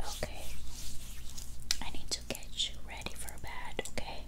Okay, I need to get you ready for bed, okay?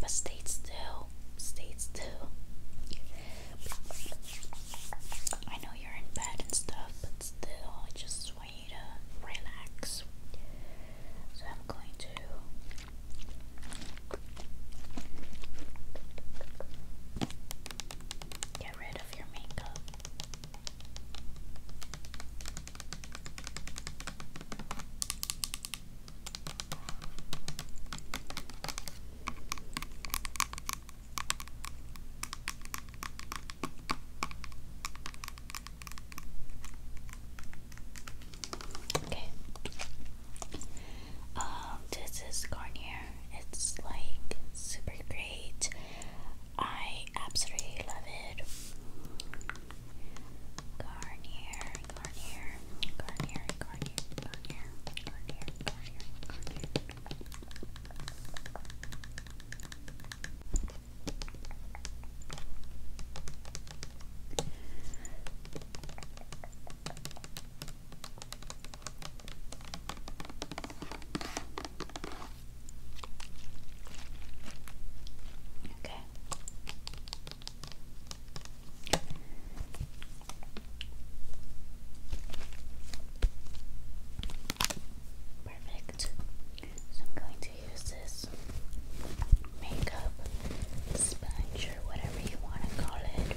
But stay still, stay still. I know you're in bed and stuff, but still, I just want you to relax. So I'm going to. Okay. Um, this is Garnier. It's like super great. I absolutely love it. Garnier, Garnier, Garnier, Garnier, Garnier, Garnier, Garnier, Garnier. Okay. Perfect. So I'm going to use this makeup sponge or whatever you want to call it.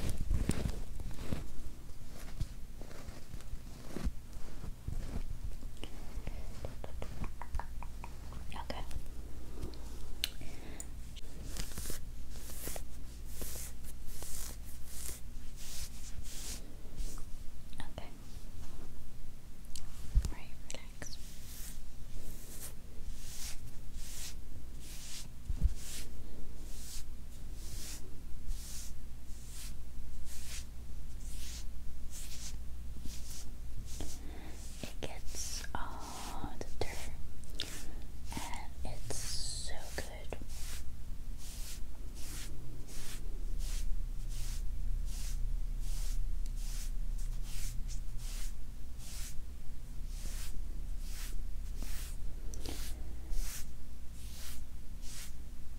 Okay. Okay. Right, relax. Okay. It gets all and it's so good.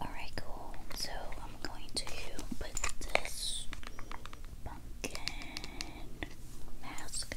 Alright, cool. So I'm going to put this pumpkin mask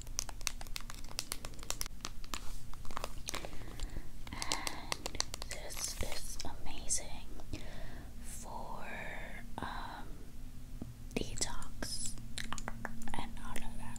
And this amazing for um, detox and all of that.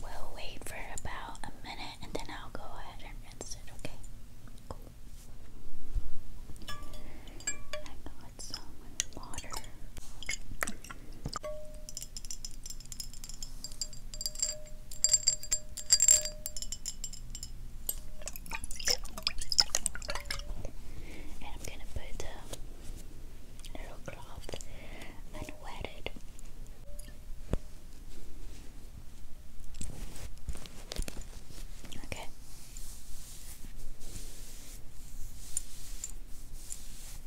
We'll wait for about a minute and then I'll go ahead and rinse it, okay? Cool. I got some um, water. And I'm gonna put a little cloth and wet it. Okay.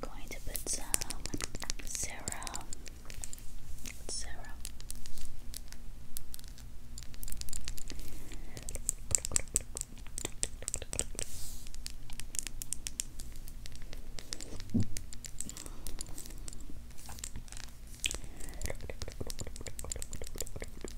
Going to put some serum. Serum.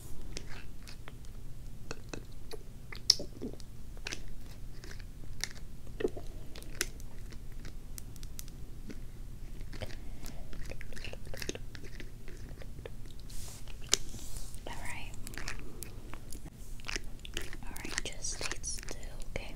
All right. All right, just stay still, okay?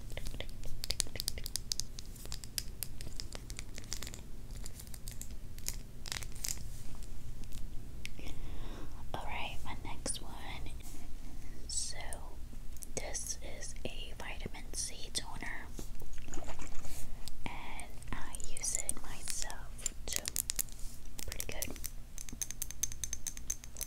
Alright, my next one. So, this is a vitamin C toner, and I use it myself Pretty good.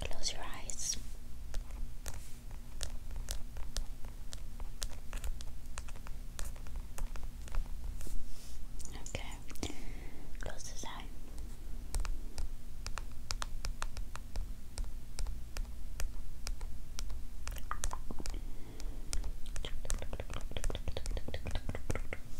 Close your eyes. Okay, close this eye.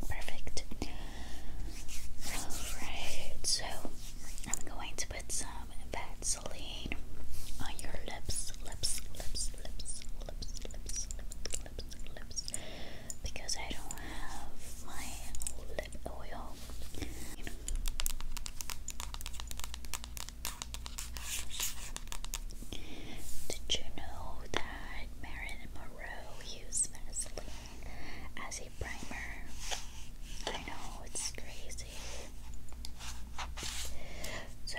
Perfect. Alright, so I'm going to put some Vaseline on your lips, lips, lips, lips, lips, lips, lips, lips, lips, because I don't have my lip oil. Did you know that Marilyn Monroe used Vaseline as a primer? I know, it's crazy. So,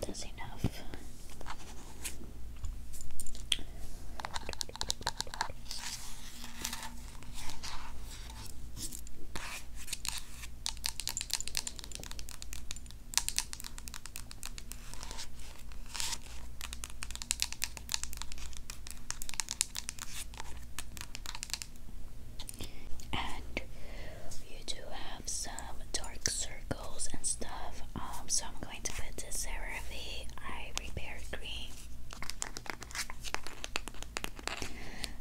That's enough and you do have some dark circles and stuff um so i'm going to put this CeraVe eye repair cream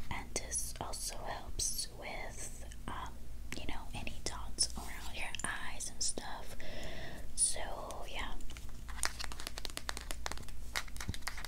and this also helps with um you know any dots around your eyes and stuff so yeah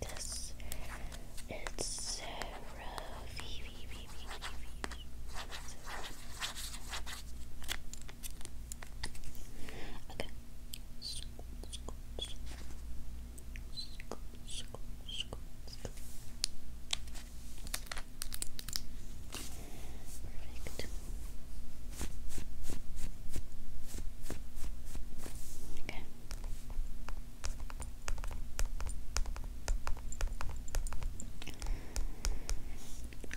This it's Sarah Okay. Scoop, scoop, scoop. Scoop, scoop, scoop, scoop. Perfect. Okay.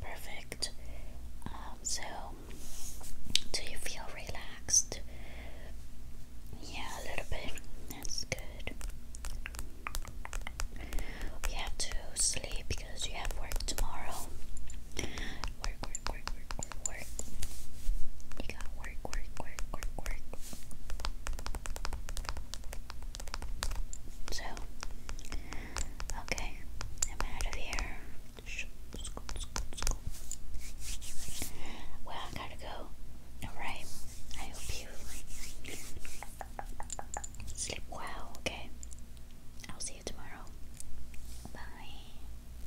Perfect. Um, so, do you feel relaxed? Yeah, a little bit. That's good. You have to sleep because you have work tomorrow work, work, work, work, work, work. got work, work, work, work, work. So, okay, I'm out of here. Well, I gotta go. Alright, I hope you sleep well, okay? I'll see you tomorrow. Bye.